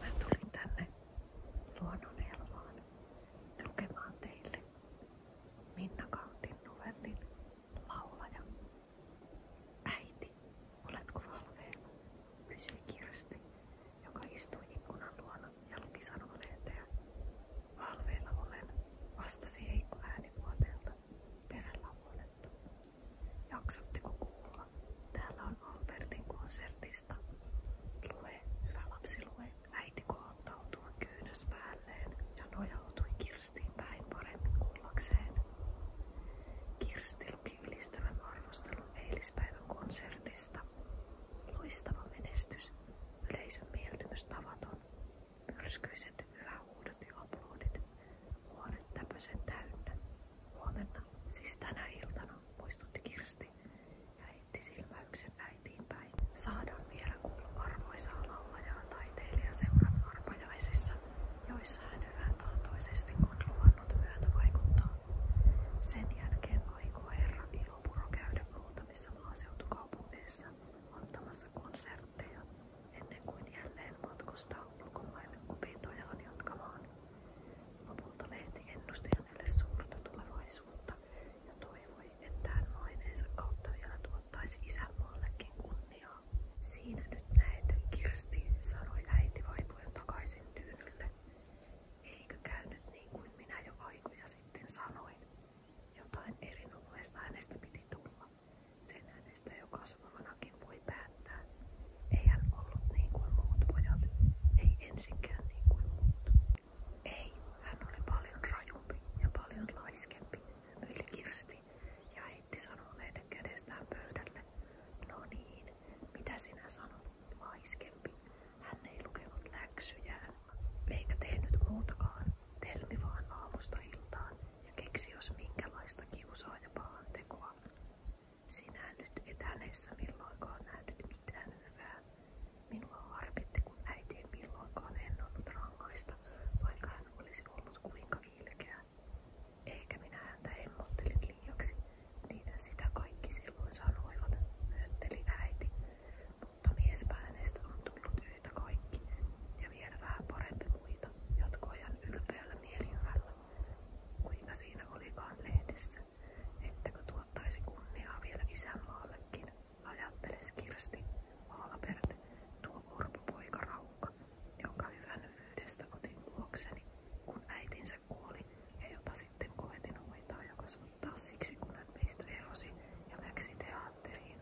Mä tulin tänne luonnonelmaan lukemaan teille Minna Kautin novellin laulaja. Äiti, oletko valveilla? kysyi Kirsti, joka istui ikkunan luona ja luki sanomalehteä. Valveilla olen, vastasi Heikko äänivuoteelta. Terellä huoletta. Jaksatteko kuulla? Täällä on Albertin konsertista. Lue, hyvä lapsi, lue. Äiti kohottautui kyynäspäälleen ja nojautui Kirstiin päin paremmin kuullakseen. Kirsti luki ylistävän arvostelun eilispäivän konsertista. Loistava menestys, yleisön mieltymys tavaton, myrskyiset hyvähuudot ja aplodit, huone täpösen täynnä. Huomenna, siis tänä iltana, muistutti Kirsti ja heitti silmäyksen äiti kotiinpäin. Saadaan vielä kuulla arvoisaa laulajaa taiteilija seuran arpajaisissa, joissa hän hyvän tahtoisesti on luvannut myötä vaikuttaa. Sen jälkeen aikoo herra Ilopuro käydä muutamissa maaseutukaupungeissa ottamassa konsertteja ennen kuin jälleen matkustaa ulkomaille opintojaan jatkamaan. Lopulta lehti ennusti hänelle suurta tulevaisuutta, ja toivoi, että hän maineensa kautta vielä tuottaisi isänmaallekin kunniaa. Siinä nyt näet, Kirsti, sanoi äiti vaipuen takaisin tyynylle. Eikö käynyt niin kuin minä jo aikoja sitten sanoin? Jotain erinomaista hänestä piti tulla. Sen hänestä jo kasvavanakin voi päättää. Ei hän ollut niin kuin muut pojat, ei ensinkään niin kuin muut. Ei, hän oli paljon rajumpi ja paljon laiskempi, hymyili Kirsti ja heitti sanoneiden kädestään pöydälle. No niin, mitä sinä sanot, laiskempi? Hän ei lukenut läksyjään, eikä tehnyt muutakaan. Telmi vaan aamusta iltaan ja keksi jos minkälaista kiusaa ja pahan tekoa. Sinä nyt et hänessä milloinkaan nähnyt mitään hyvää, Minua harmitti, kun äiti ei milloinkaan ennonnut vaikka hän olisi ollut kuinka ilkeä. Eikä minä häntä hemmottelin liiaksi, niin sitä kaikki silloin sanoivat, myönteli äiti. Mutta miespä on tullut yhtä kaikki, ja vielä vähän parempi muita, jatkoi hän ylpeällä mielihyvällä. Kuinka siinä olikaan lehdessä, ettäkö tuottaisi kunniaa vielä isänmaallekin, Ajatteles Kirsti, Maalapert, tuo orpopoika Raukka, jonka hyvänvyydestä otin luokseni, kun äitinsä kuoli ja jota sitten koetin hoitaa ja kasvattaa siksi, kun hän meistä erosi ja läksi teatteriin.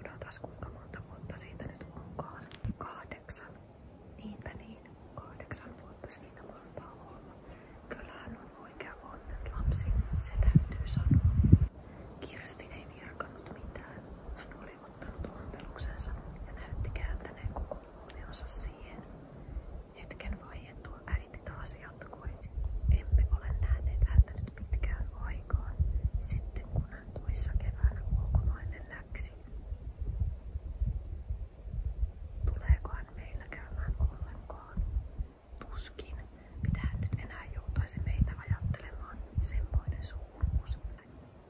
Odotas kuinka monta vuotta siitä nyt onkaan. Kahdeksan. Niinpä niin. Kahdeksan vuotta siitä mahtaa olla. Kyllähän on oikea onnen lapsi, se täytyy sanoa. Kirsti ei virkannut mitään. Hän oli ottanut ompeluksensa ja näytti kääntäneen koko huomionsa siihen. Hetken vaiettua äiti taas jatkoi. Emme ole nähneet häntä nyt pitkään aikaan, sitten kun hän toissa keväänä ulkomaille läksi. Tuleeko hän meillä käymään ollenkaan? Tuskin, mitähän nyt enää joutaisi meitä ajattelemaan semmoinen suuruus.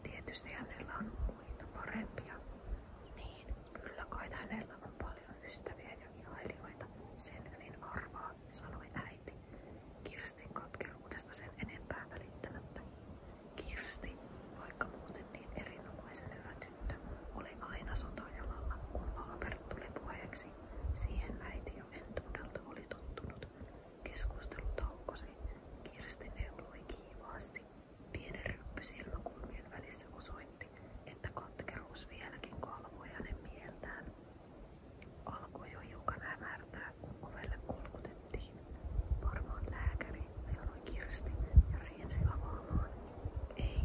Tietysti hänellä on muita parempia. Niin, kyllä kai hänellä on paljon ystäviä ja ihailijoita. Sen hyvin arvaa, sanoi äiti. Kirstin katkeruudesta sen enempää välittämättä. Kirsti, vaikka muuten niin erinomaisen hyvä tyttö, oli aina sotajalalla, kun Albert tuli puheeksi Siihen äiti jo entuudelta oli tottunut. Keskustelu taukosi. Kirsti neuloi kiivaasti. Pieni ryppy silmäkulmien välissä osoitti, että katkeruus vieläkin kalvoi hänen mieltään. Alkoi jo hiukan hämärtää, kun ovelle kolkutettiin. Varmaan lääkäri, sanoi Kirsti ja riensi avaamaan. Ei,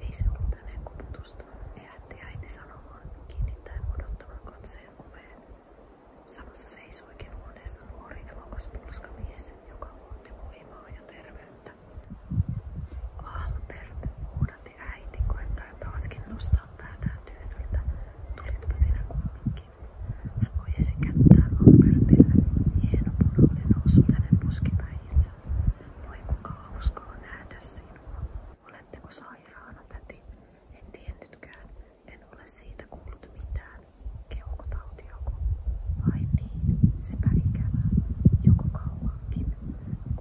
ei se ollut hänen koputusta, äiti äiti sanomaan, kiinnittäen odottavan katseen oveen. Samassa seisoikin huoneesta nuori elokas pulskamies, joka luotti voimaa ja terveyttä. Albert, huudatti äiti, koettaen taaskin nostaa päätään tyynyltä. Tulitpa sinä kumminkin. Hän ojesi kättään Albertille. Hieno puna oli noussut hänen puskipäihinsä. Voi kuka hauskaa nähdä sinua. Ole oletteko sairaana, täti? En tiennytkään. En ole siitä kuullut mitään. Keuhkotautiako? Ai niin, sepä ikävää. Joko kauankin?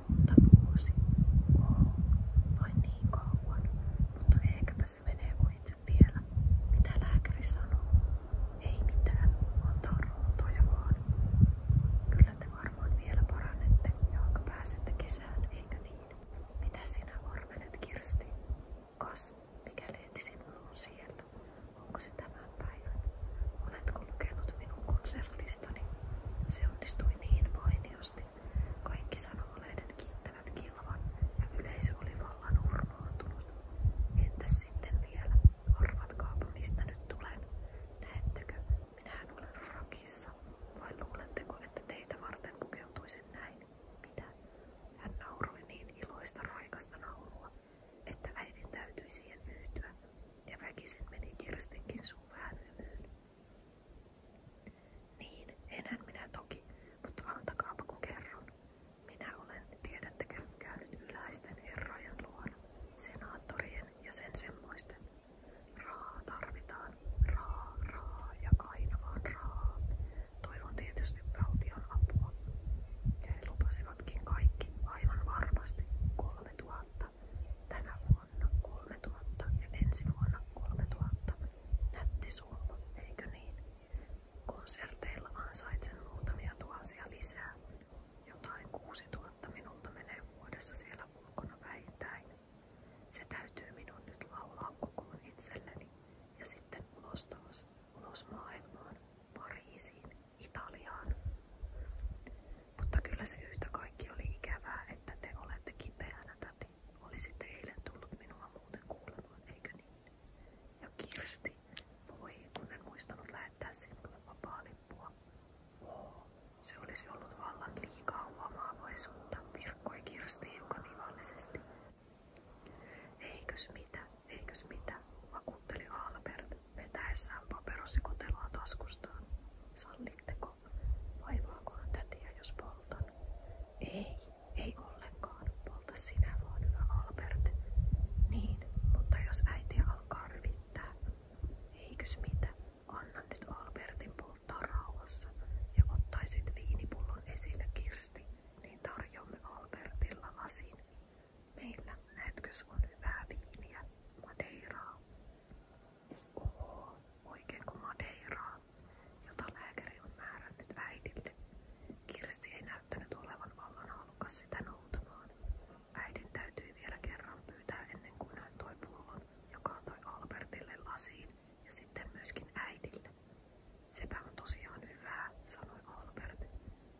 Kunta vuosi. Oh, vai niin kauan. Mutta ehkäpä se menee ohitse vielä. Mitä lääkäri sanoo? Ei mitään. Antaa ruutoja vaan. Kyllä te varmaan vielä parannette ja pääsette sisään, eikö niin? Mitä sinä morvelet, Kirsti? Kas, mikä leeti sinulla on siellä? Onko se tämän päivän? Oletko lukenut minun konsertistani? Se onnistui niin mainiosti. Kaikki sanomalehdet kiittävät kilvan ja yleisö oli vallan urmaantunut. Entäs sitten vielä? Arvatkaapa mistä nyt tulen. Näettekö, Minähän olen frakissa. Vai luuletteko, että teitä varten pukeutuisin näin? Mitä? Hän nauroi niin iloista raikasta naurua, että äidin täytyi siihen yhtyä, ja väkisin meni Kirstinkin suun hymyyn. Niin, enhän minä toki, mutta antakaapa kun kerron. Minä olen, tiedättekö, käynyt yläisten herrojen luona, senaattorien ja sen Raa tarvitaan. Raa, raa ja aina vaan raa. Toivon tietysti valtion apua. Ja he lupasivatkin kaikki aivan varmasti 3000. Tänä vuonna 3000 ja ensi vuonna 3000. Nätti summa, eikö niin? Konserteilla ansaitsen muutamia tuhansia lisää. Jotain 6000 minulta menee vuodessa siellä ulkona väittäin. Se täytyy minun nyt laulaa kokoon itselleni ja sitten ulos taas, ulos maailmaan, Pariisiin, Italiaan. Mutta kyllä se yhtä kaikki oli ikävää, että te olette kipeänä täti. Olisitte eilen tullut minua muuten kuulemaan, eikö niin? Ja Kirsti, voi kun en muistanut lähettää sinulle vapaa lippua. Se olisi ollut vallan liikaa huomaavaisuutta, virkkoi Kirsti hiukan ivallisesti. Eikös mitä, eikös mitä, vakuutteli Albert vetäessään paperossikoteloa taskustaan. Sallitteko? Vaivaakohan tätiä, jos poltan? Ei, ei ollenkaan. Polta sinä vaan, hyvä Albert. Niin, mutta jos äiti alkaa ryvittää. Eikös mitä, Anna nyt Albertin polttaa rauhassa ja ottaisit viinipullon esille Kirsti, niin tarjoamme Albertilla lasin. Meillä näetkö on hyvää viiniä, Madeiraa? Oho, oikeinko Madeiraa, jota lääkäri on määrännyt äidille? Kirsti ei näyttänyt olevan vallan halukas sitä noutamaan. Äidin täytyi vielä kerran pyytää ennen kuin hän toi pullon, joka antoi Albertille lasiin ja sitten myöskin äidille. Sepä on tosiaan hyvää, sanoi Albert.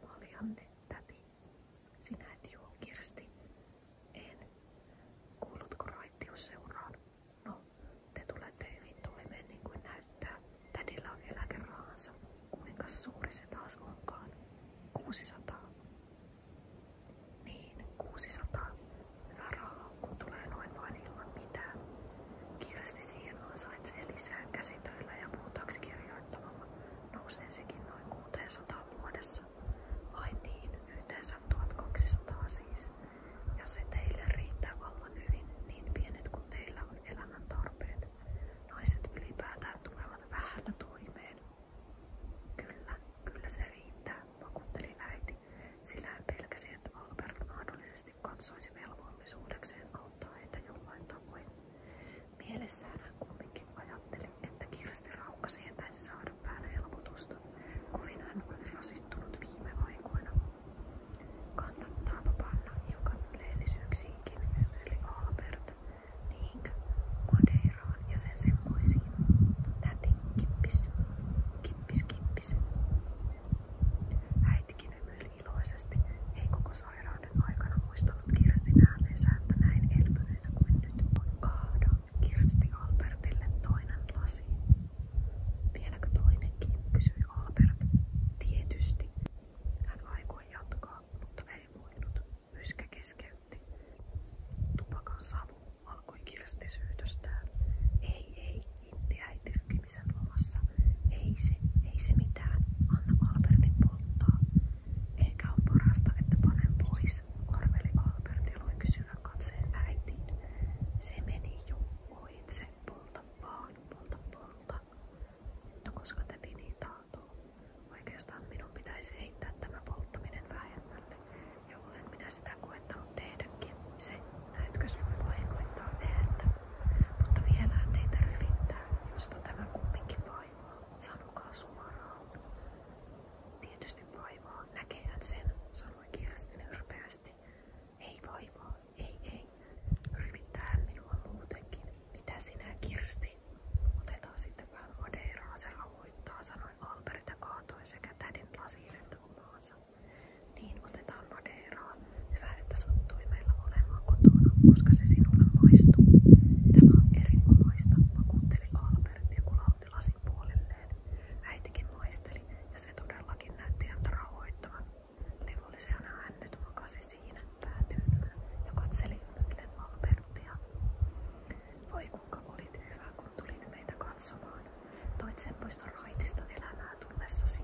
Maljanne, täti. Sinä et juo, Kirsti. En. Kuulutko raittius seuraan? No, te tulette hyvin toimeen niin kuin näyttää. Tädillä on eläkerahansa. Kuinka suuri se taas onkaan? 600. Niin, 600 hyvää rahaa, kun tulee noin vain ilman mitään. Kirsti siihen ansaitsee lisää käsitöillä ja muutaksi kirjoittamalla. Nousee sekin noin 600 vuodessa. Ai niin, yhteensä 1200 siis. Ja se teille riittää vallan hyvin, niin pienet kuin teillä on elämän tarpeet. Naiset ylipäätään tulevat vähällä toimeen. Kyllä, kyllä se riittää, vakuutteli äiti, sillä hän pelkäsi, että Albert mahdollisesti katsoisi velvollisuudekseen auttaa heitä jollain tavoin. Mielessään hän kumminkin ajatteli, että Kirsti Raukka sietäisi saada päälle helpotusta, kovin hän oli rasittunut viime aikoina. Kannattaa panna hiukan leellisyyksiinkin, yli Albert, niinkö, Madeiraan ja sen semmoisiin. Täti kippis, kippis, kippis. Äitikin hymyili iloisesti, ei koko sairauden aikana muistanut Kirstin ääneensä, että näin elpyneenä kuin nyt on kaada. Kirsti Albertille toinen lasi. Vieläkö toinenkin, kysyi Albert. Tietysti. Hän aikoi jatkaa, mutta ei voinut. Pyskä keskeytti. Tupakan savu alkoi kirsti syytöstään. Ei, ei, intti äiti rykimisen lomassa. Ei se, ei se mitään. Anna Albertin polttaa. Ehkä on parasta, että panen pois, arveli Albert ja loi kysyvän katseen äitiin. Se meni jo ohitse. Polta vaan, polta, polta. No koska täti niin tahtoo. Oikeastaan minun pitäisi heittää tämä polttaminen Ja olen minä sitä Se, näetkö sun vahingoittaa ääntä. Mutta vielä teitä rivittää, jospa tämä kumminkin vaivaa. Sanokaa suoraan. Tietysti vaivaa, näkehän sen, sanoi Kirsti nyrpeästi. Ei vaivaa, ei ei. Rivittää minua muutenkin. Mitä sinä, Kirsti? Otetaan sitten vähän madeiraa, se rauhoittaa, sanoi ympäriltä kaatui sekä tädin lasiin että omaansa. Niin otetaan madeeraa. Hyvä, että sattui meillä olemaan kotona, koska se sinulle maistuu. Tämä on erinomaista, vakuutteli Albert ja kulautti lasin puolelleen. Äitikin maisteli ja se todellakin näytti häntä rauhoittavan. Levollisena hän nyt makasi siinä päätyynynä ja katseli ymmärrellen Albertia. Voi kuinka olit hyvä, kun tulit meitä katsomaan. Toit semmoista raitista elämää tullessasi.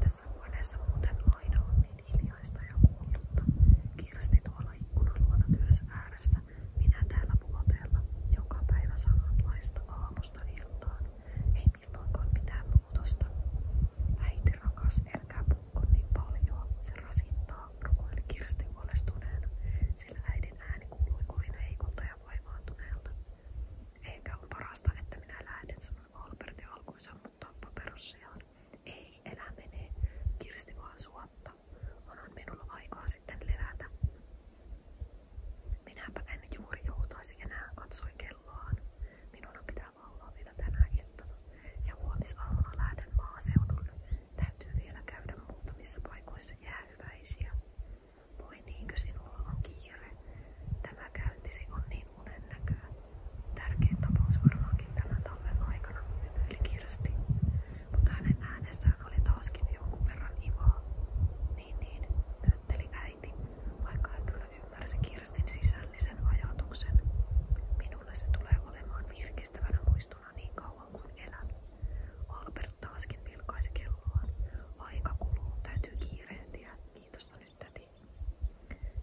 Tässä huoneessa muuten aina on niin hiljaista ja kuullutta. Kirsti tuolla ikkunan luona työssä ääressä, minä täällä vuoteella, joka päivä samanlaista aamusta iltaan. Ei milloinkaan mitään muutosta. Äiti rakas, älkää puhko niin paljon, se rasittaa rukoili Kirsti huolestuneena, sillä äidin ääni kuului kovin heikolta ja vaivaantuneelta. Ehkä on parasta, että minä lähden, sanoi Albert ja alkoi sammuttaa Ei, elä menee. Kirsti vaan suotta. Onhan minulla Minäpä en juuri joutaisi enää, katsoi kelloaan. Minun pitää laulaa vielä tänä iltana ja huomisaamuna lähden maaseudulle. Täytyy vielä käydä muutamissa paikoissa jäähyväisiä. Voi niinkö sinulla on kiire? Tämä käyntisi on niin unennäköä. Tärkein tapaus varmaankin tämän talven aikana, hymyili Mutta hänen äänestään oli taaskin jonkun verran ivaa. Niin niin, nyötteli äiti, vaikka kyllä ymmärsi Kirstin sisällisen ajatuksen. Minulle se tulee olemaan virkistävänä muisto unohtuna niin kauan kuin elän. Albert taaskin vilkaisi kelloaan. Aika kuluu, täytyy kiirehtiä. Kiitos no nyt täti.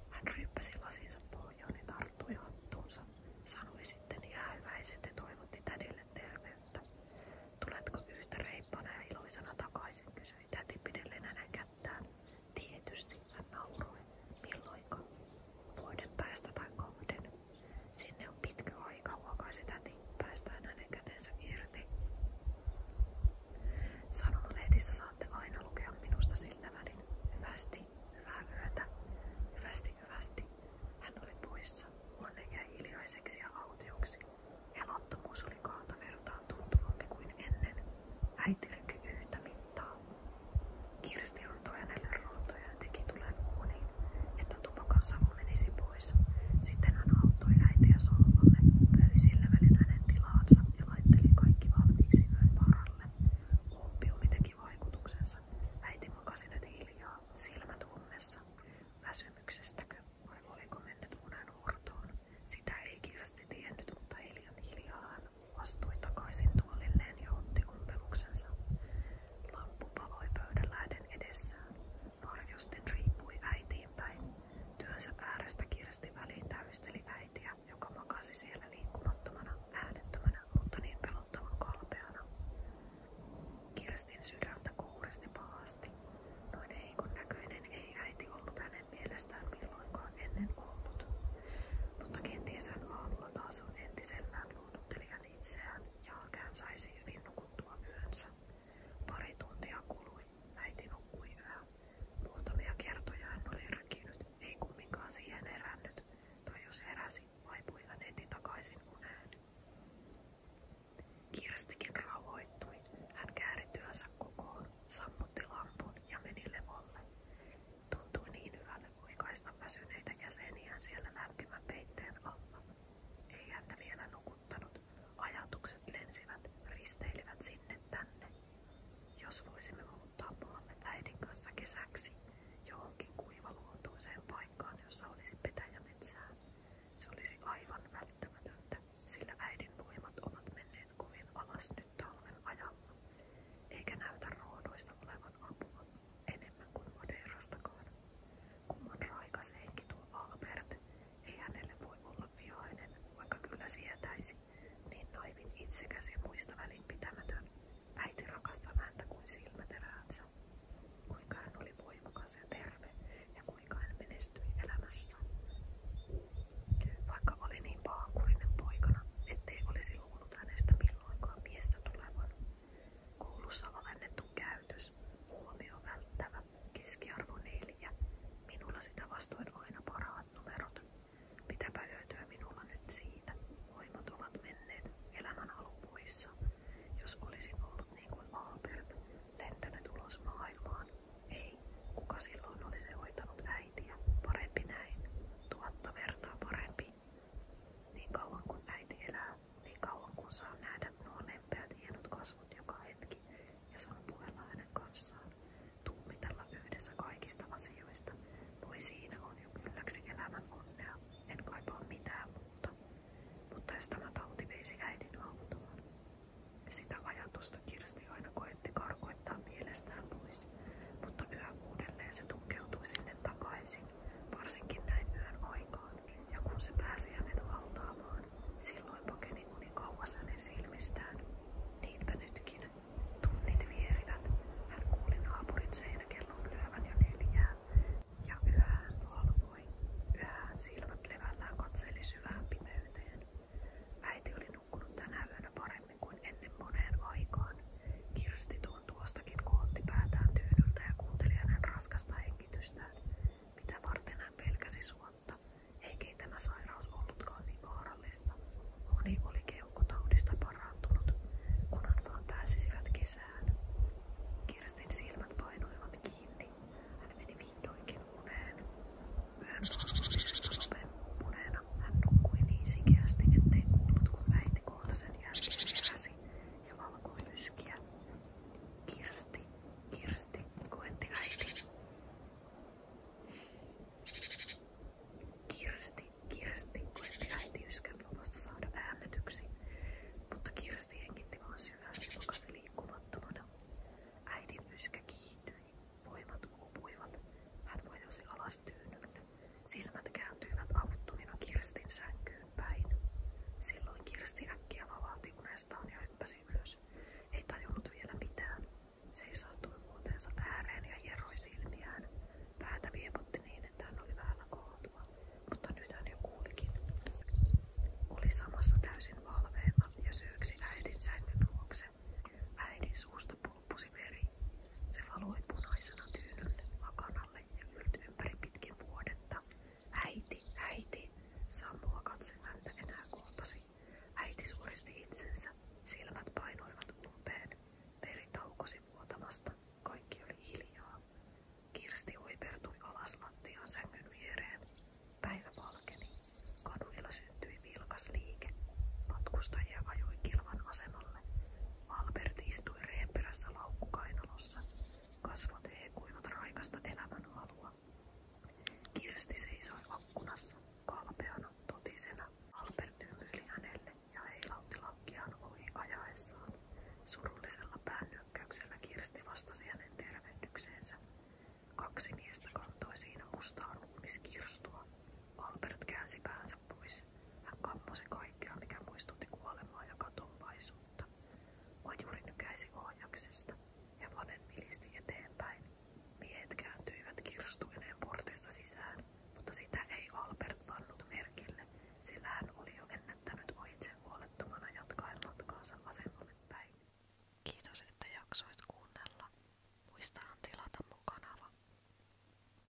Hän ryppäsi lasinsa pohjaan ja tarttui hattuunsa. Sanoi sitten jäähyväiset ja toivotti tädille terveyttä. Tuletko yhtä reippana ja iloisena takaisin, kysyi täti pidellen hänen kättään. Tietysti, hän nauroi. Milloinka? Muiden päästä tai kohden. Sinne on pitkä aika, huokaisi täti, päästään hänen kätensä irti. Sanomalehdistä saatte aina lukea minusta sillä välin. Hyvästi, hyvää yötä, hyvästi, hyvästi. Hän oli poissa, Onne jäi hiljaiseksi ja autioksi. Elottomuus oli kaata vertaan tuntuvampi kuin ennen. Äiti lykyi yhtä mittaa. Kirsti antoi hänelle ruotoja ja teki tulen uuniin, että tupakan savu menisi pois. Sitten hän auttoi äitiä sohvalle, pöi sillä välin hänen tilaansa ja laitteli kaikki valmiiksi yön varalle. Umpiumi teki vaikutuksensa. Äiti makasi nyt hiljaa, silmät ummessa. Väsymyksestäkö vai oliko mennyt unen hurtoon? Sitä ei Kirsti tiennyt, mutta hiljan hiljaa hän vastui takaisin tuolilleen ja otti umpeluksensa. Lamppu paloi pöydänlähden edessään. Varjosten riippui äitiinpäin. Työnsä äärestä kirsti väliin täysteli äitiä, joka makasi siellä liikkumattomana, äänettömänä, mutta niin pelottavan kalpeana. Kirstin sydäntä kuuristi pahasti. Noin niin, heikon näköinen ei äiti ollut hänen mielestään milloinkaan ennen ollut. Mutta kenties hän aamulla taas on entisellään luonnotteli näkivät itseään ja hän saisi hyvin nukuttua yönsä. Pari tuntia kului. Äiti nukkui yhä. Muutamia kertoja hän oli rykinyt, ei kumminkaan siihen herännyt, tai jos heräsi, vaipui hän heti takaisin uneen. Kirstikin rauhoittui. Hän kääri työnsä kokoon, sammutti lampun ja meni levolle. Tuntui niin hyvälle huikaista väsyneitä jäseniä niin siellä lämpimän peitteen alla. Ei häntä vielä nukuttanut. Ajatukset lensivät, risteilivät sinne tänne. Jos voisimme muuttaa maamme äidin kanssa kesäksi johonkin kuivaluontoiseen paikkaan, jossa olisi petäjämetsää, se olisi aivan välttämätöntä, sillä äidin voimat ovat menneet kovin alas nyt talven ajalla, eikä näytä roodoista olevan apua enemmän kuin Madeirastakaan. Kumman raikas henki tuo Albert, ei hänelle voi olla vihainen, vaikka kyllä sietäisi, niin naivin itsekäs ja muista välinpitämätön. Äiti rakastaa häntä kuin silmäteräänsä. Kuinka hän oli voimakas ja terve ja kuinka hän menestyi elämässä. Vaikka oli niin paankurinen poikana, ettei olisi luullut hänestä milloinkaan miestä tulevan, Koulussa alennettu käytös, huomio välttävä, keskiarvo 4. Minulla sitä vastoin aina parhaat numerot. Mitäpä löytyä minulla nyt siitä? Voimat ovat menneet elämän alkuissa. Jos olisin ollut niin kuin Albert, lentänyt ulos maailmaan. Ei, kuka silloin olisi hoitanut äitiä? Parempi näin. Tuhatta vertaa parempi niin kauan kuin äiti elää, niin kauan kuin saa nähdä nuo lempeät hienot kasvot joka ja saa puhella hänen kanssaan, tuumitella kaikista asioista, voi siinä on jo kylläksi elämän onnea, kaipaa mitään muuta. Mutta jos tämä tauti veisi äidin autoon, sitä ajatusta Kirsti karkoittaa mielestään mutta yhä se tunkeutui sinne takaisin varsinkin näin yön aikaan, ja kun se pääsi hänet valtaamaan, silloin pakeni uni kauas hänen silmistään. Niinpä nytkin. Tunnit vierivät. Hän kuuli naapurin seinäkellon lyövän jo neljää, ja yöhän valvoi. Yöhän silmät levällään katseli syvään pimeyteen. Äiti oli nukkunut tänä yönä paremmin kuin ennen moneen aikaan. Kirsti tuon tuostakin kootti päätään tyynyltä ja kuunteli raskasta hengitystään, mitä varten hän pelkäsi suotta. Eikä tämä sairaus ollutkaan niin vaarallista. Moni oli keuhkotaudista parantunut, kunhan vaan pääsisivät kesään. Kirstin silmät painoivat kiinni. Hän meni vihdoinkin uneen. Yön lopuisesta hän nukkui niin sikeästi, ettei kuullut kun äiti Pohjoisen jälkeen heräsi ja valkoi myskiä. Kirsti, Kirsti, koetti äiti. Kirsti, Kirsti, koetti äiti yskän luvasta saada äännetyksi, mutta Kirsti hengitti vaan syvään ja makasi liikkumattomana. Äidin yskä kiihtyi, voimat uupuivat, hän vajosi alas taas tyynyn. Silmät kääntyivät avuttomina Kirstin sänkyyn päin. Silloin Kirsti äkkiä vavahti unestaan ja hyppäsi ylös. Ei tajunnut vielä mitään. Seisahtui vuoteensa ääreen ja hieroi silmiään. Päätä viepotti niin, että hän oli vähällä mutta nyt hän jo kuulikin. Oli samassa täysin valveena ja syyksi äidin sängyn luokse. Äidin suusta pulppusi veri. Se valoi punaisena tyynyn vakanalle kävelyt ympäri pitkin vuodetta. Äiti, äiti, Sammua katse häntä enää kohtasi. Äiti suuristi itsensä, silmät painoivat umpeen, veri taukosi vuotamasta, kaikki oli hiljaa. Kirsti uipertui alas lattiaan sängyn viereen. Päivä valkeni. Kaduilla syntyi vilkas liike. Matkustajia ajoi kilvan asemaan. Albert istui reen perässä laukkukainalossa. Kasvot heekuivat raikasta elämänhalua. Kirsti seisoi akkunassa, kalpeana, totisena. Albert hymyili hänelle ja heilautti lakkiaan ohi ajaessaan. Surullisella päännyökkäyksellä Kirsti vastasi hänen tervehdykseensä. Kaksi miestä kantoi siinä mustaa ruumiskirstua. Albert käänsi päänsä kätensä pois. Hän kammosi kaikkea, mikä muistutti kuolemaa ja katonvaisuutta. Majuri nykäisi ohjaksesta. Hevonen vilisti eteenpäin. Miehet kääntyivät kirstuineen portista sisään, mutta sitä ei Albert pannut merkille, sillä hän oli jo ennättänyt ohitse huolettomana jatkaen matkaansa vasemmalle päin. Kiitos, että jaksoit kuunnella. Muistahan tilata mun kanava.